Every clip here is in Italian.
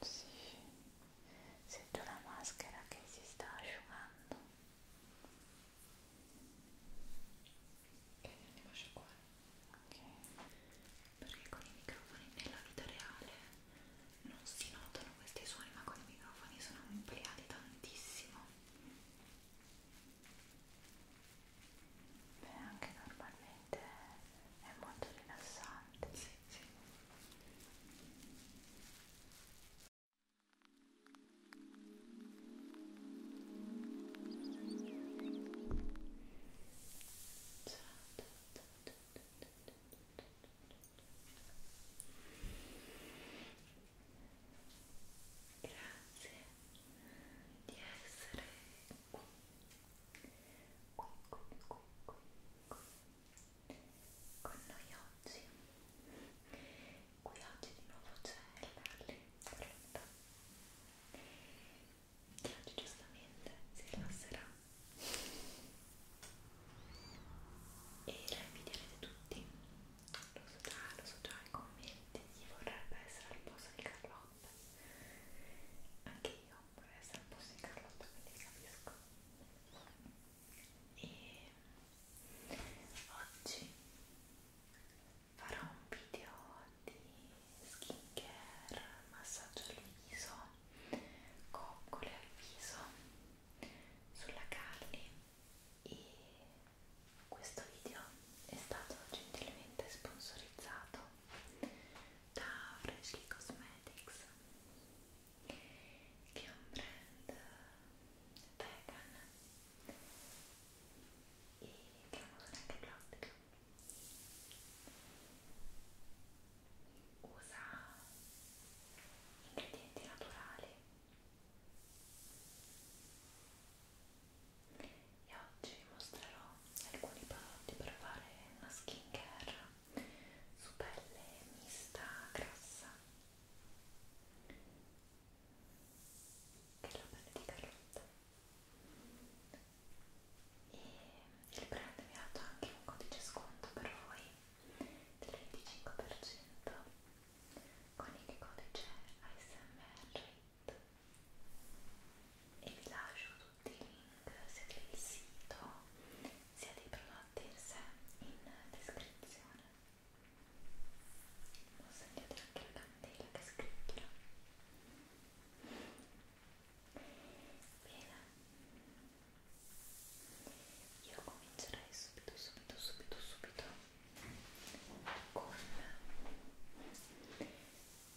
Sì, sento la maschera che si sta asciugando. Ok, andiamo a asciugare. Ok. Perché con i microfoni nella vita reale non si notano questi suoni ma con i microfoni sono ampliati tantissimo beh anche normalmente è molto rilassante sì, sì. Ciao, ciao, ciao, ciao, ciao, ciao, ciao. Grazie di essere qui, qui, qui, qui, qui, qui. con noi oggi. Qui oggi di nuovo c'è Larry Pronto, che oggi giustamente si rilasserà e la invidierete tutti lo so già, lo so già, i commenti chi vorrebbe essere al posto di Carlotta anche io vorrei essere al posto di Carlotta quindi capisco e oggi farò un video di skincare massaggio al viso coccole al viso sulla carne e questo video è stato gentilmente sponsorizzato da Freshly Cosmetics che è un brand vegan e che usa anche plastica usa ingredienti naturali e oggi vi mostrerò alcuni prodotti per fare una skincare su pelle mista grassa che è la pelle di carlotta e il brand mi ha dato anche un codice sconto per voi del 25% con il codice ASMR e vi lascio tutti i link sia del sito sia dei prodotti in sé in descrizione ho sentito anche la candela che scricchiola bene io comincerei subito subito subito subito con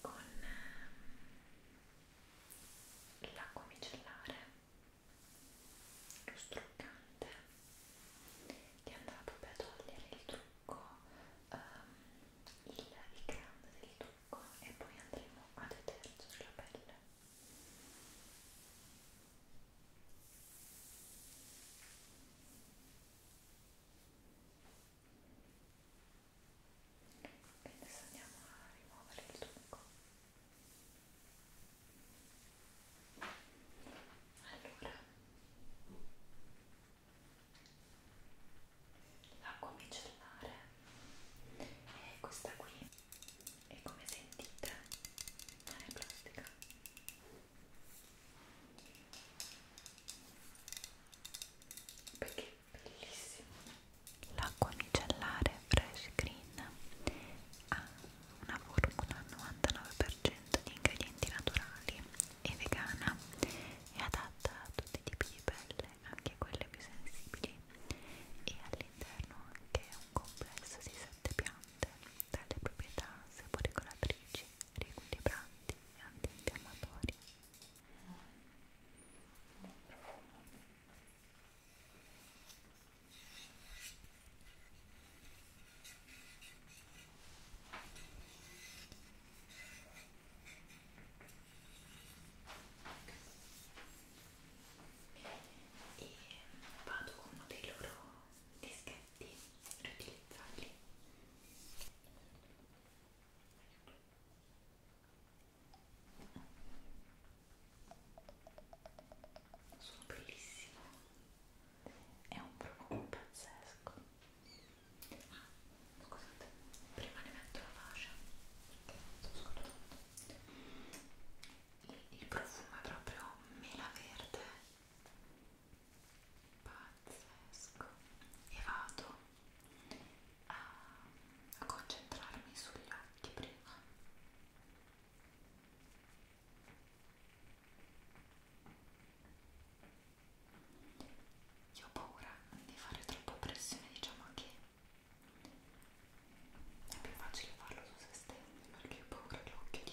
con ehm, l'acqua micellare lo struccante che andrà proprio a togliere il trucco um, il, il grande del trucco e poi andremo a detergere la pelle e adesso andiamo a rimuovere il trucco allora l'acqua micellare è questa qui e come sentite non è plastica perché è bellissimo l'acqua micellare fresh green ha una formula 99% di ingredienti naturali e vegana è adatta a tutti i tipi di pelle anche quelle più sensibili e all'interno anche un complesso di sette piante prodotte dalle proprietà saporegolatrici, riequilibranti e antinfiammatorie. E vado con uno dei loro dischetti riutilizzabili sono bellissimo è un profumo pazzesco ah, scusate prima ne metto la fascia il profumo è proprio mela verde pazzesco e vado a, a concentrarmi sugli occhi prima io ho paura di fare troppa pressione diciamo che è più facile farlo su se stessi perché ho paura che l'occhio di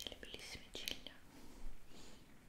delle bellissime ciglia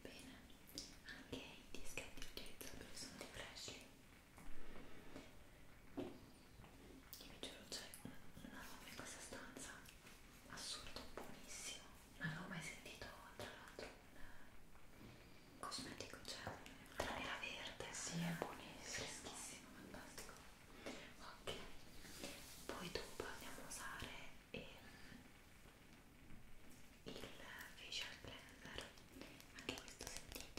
Bene, anche i dischetti utilizzabili sono di Freshly. Io vi giuro, c'è un aroma in questa stanza assurdo, buonissimo non avevo mai sentito tra l'altro un cosmetico cioè la nera verde si sì, è buonissimo freschissimo fantastico ok poi dopo andiamo a usare ehm, il facial cleanser anche questo sentite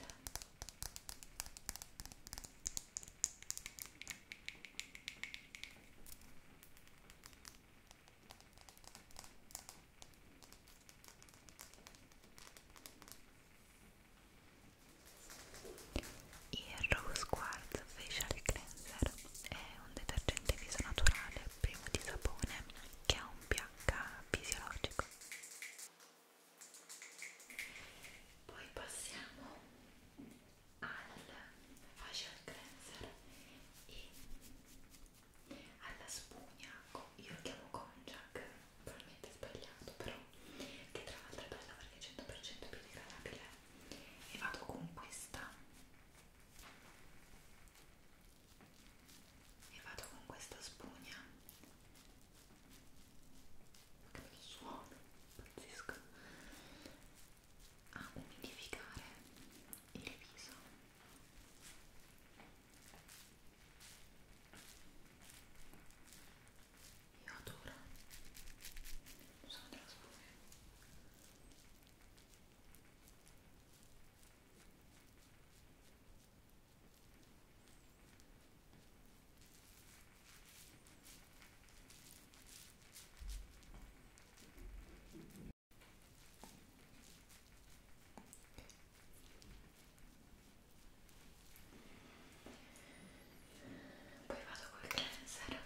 il Rose Quartz Facial Cleanser è un detergente viso naturale primo di sapone che ha un pH fisiologico. Poi passiamo al facial cleanser e alla spugna, io lo chiamo Conjac, probabilmente sbagliato però, che tra l'altro è bella perché è 100% biodegradabile e vado con questa e vado con questa spugna che bello suono, pazzesco a umidificare il viso io adoro non so della scuola poi vado col cleanser.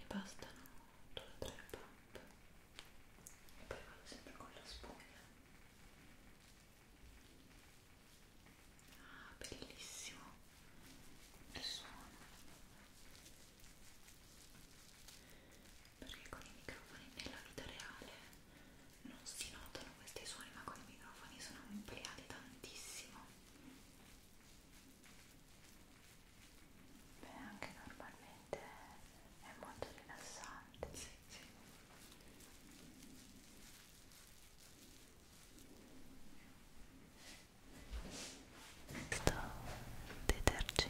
E bastano due o tre pump e poi vado sempre con la spugna ah bellissimo il suono perché con i microfoni nella vita reale non si notano questi suoni ma con i microfoni sono ampliati tantissimo beh anche normalmente veramente è molto rilassante. Sì, sì. Questo detergente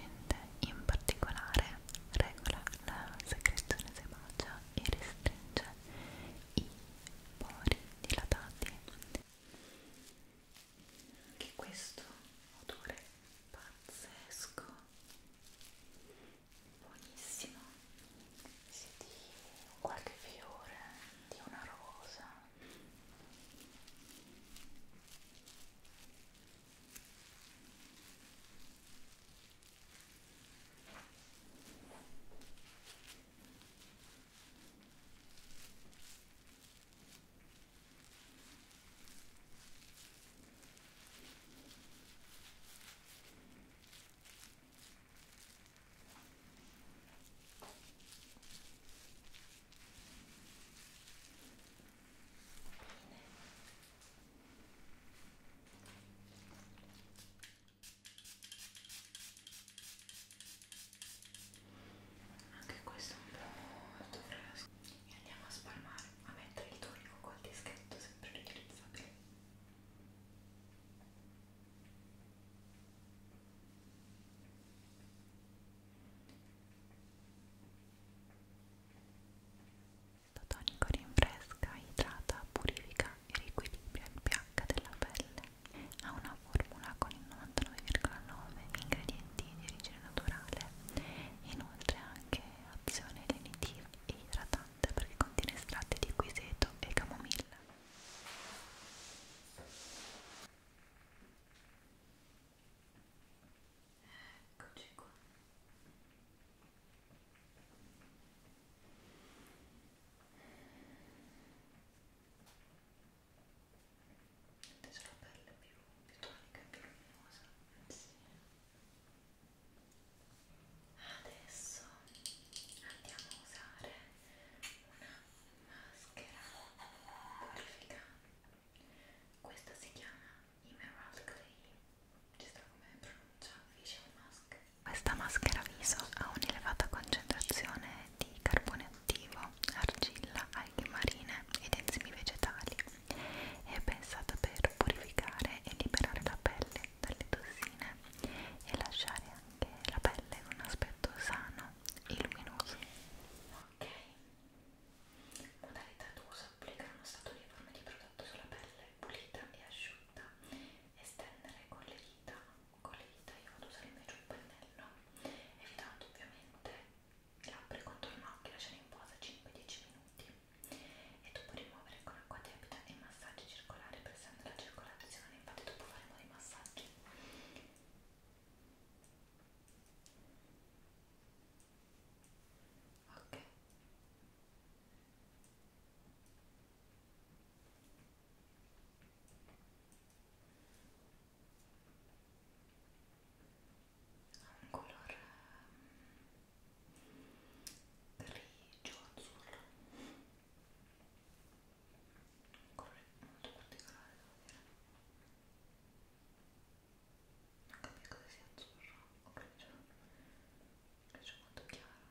in particolare regola la secrezione sebacea e restringe i pori dilatati. Anche questo odore pazzesco buonissimo sì, di qualche fiore, di una rosa anche questo è un po' molto fresco e andiamo a spalmare a mettere il tonico col dischetto sempre riutilizzabile questo tonico rinfresca, idrata, purifica e riequilibra il pH della pelle ha una formula con il 99,9 ingredienti di origine naturale inoltre anche azione lenitiva e idratante perché contiene estratti di quiseto e camomilla. Eccoci qua. Mette la pelle più, più tonica e più luminosa. Sì. Adesso andiamo a usare una maschera purifica. Questa si chiama Emerald Clay. Ci sta come pronuncia facial mask. Questa maschera viso ha un'elevata concentrazione di carbone attivo, argilla, alghe marine ed enzimi vegetali è pensata per purificare e liberare la pelle dalle tossine e lasciare anche la pelle con un aspetto sano e luminoso. Ok, modalità d'uso applica uno stato uniforme di prodotto sulla pelle pulita e asciutta, estendere con le dita, con le dita io vado a usare invece un pennello, evitando ovviamente labbra e contorno occhi, lasciare in posa 5-10 minuti e dopo rimuovere con acqua tiepida e massaggi circolari pressando la circolazione infatti dopo faremo dei massaggi ok ok un colore ehm, grigio azzurro un colore molto particolare devo dire non capisco se sia azzurro o grigio grigio molto chiaro Ecco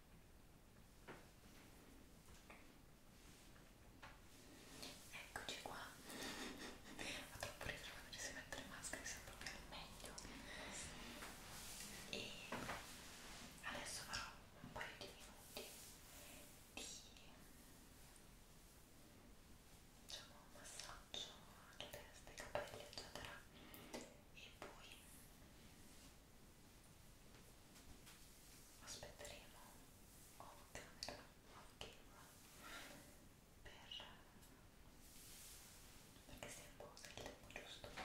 Eccoci qua. Ho troppo riso quando si mette le maschere, sono proprio al meglio. E adesso farò un paio di minuti di diciamo un massaggio alla testa, ai capelli, eccetera. E poi aspetteremo off camera, off camera per, perché si imposa il tempo giusto Ecco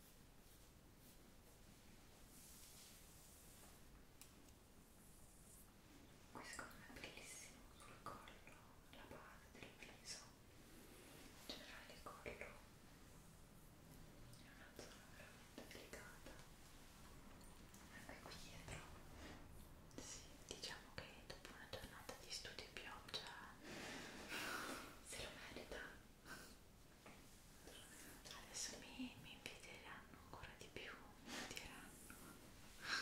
Questo secondo me è bellissimo sul collo, la base del viso, in generale il collo è una zona veramente delicata. Anche qui dietro, sì, diciamo che dopo una giornata di studio e pioggia se lo merita adesso mi, mi invidieranno ancora di più mi odieranno Ecco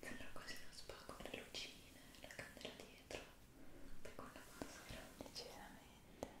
Sembra quasi uno spa con le lucine, la candela dietro, poi con la maschera. Decisamente. Ecco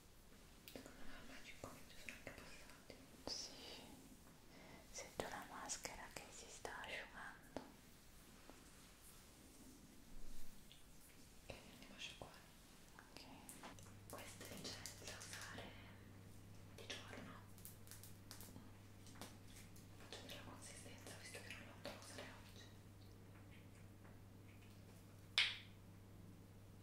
Secondo me ormai 5 minuti sono anche passati. Sì, sento la maschera che si sta asciugando. E andiamo a asciugare. Ok. Queste licenze da usare di giorno. Faccio della consistenza visto che non l'ho usare oggi.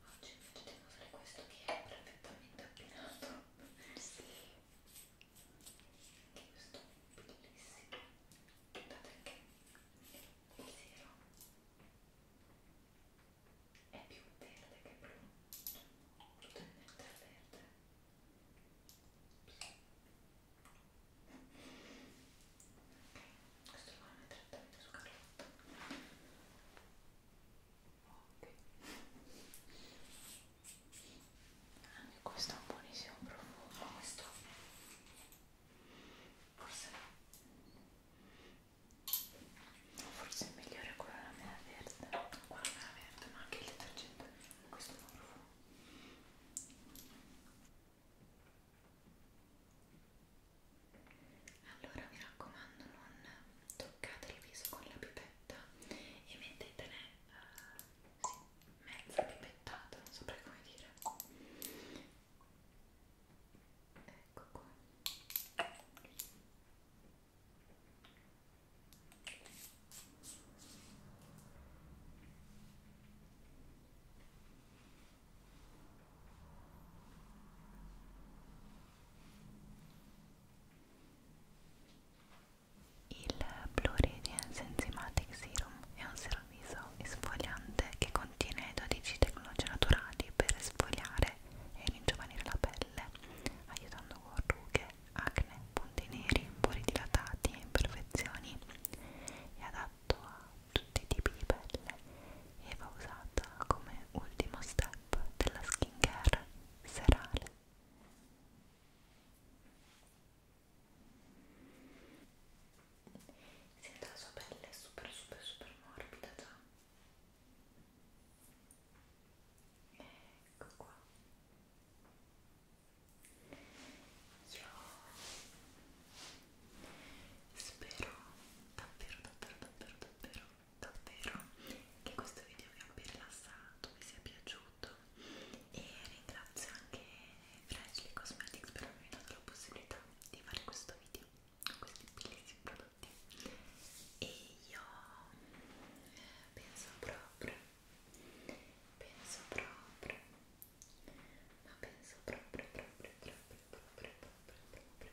oggi potremmo usare questo che è perfettamente abbinato sì. che questo è bellissimo guardate che il zero è più verde che blu totalmente verde ok questo lo metterò anche su Carlotta ok anche questo è un buonissimo profumo questo forse forse è migliore quello della mela verde quello della verde ma anche il detergente questo è un profumo allora mi raccomando non toccate il viso con la pipetta e mettetene uh, sì, mezza pipettata, non saprei come dire ecco qua il Blue Radiance Enzymatic Serum è un servizio esfoliante che contiene 12 tecnologie naturali per esfoliare e ringiovanire la pelle, aiutando con rughe, acne, punti neri, pori dilatati e imperfezioni. È adatto a tutti i tipi di pelle e va usata come ultimo step della skincare serale. Sento la sua pelle super super super morbida già. Ecco qua. Io spero davvero davvero davvero davvero davvero che questo video vi abbia rilassato, vi sia piaciuto e ringrazio anche Freshly Cosmetics per avermi dato la possibilità di fare questo video con questi bellissimi prodotti e io penso proprio penso proprio ma penso proprio proprio proprio proprio proprio proprio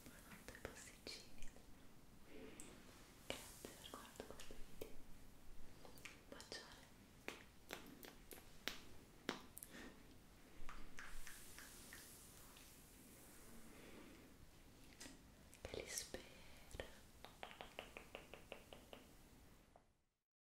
Buonanotte pasticcini Grazie per guardo questo video Bacione Che li spero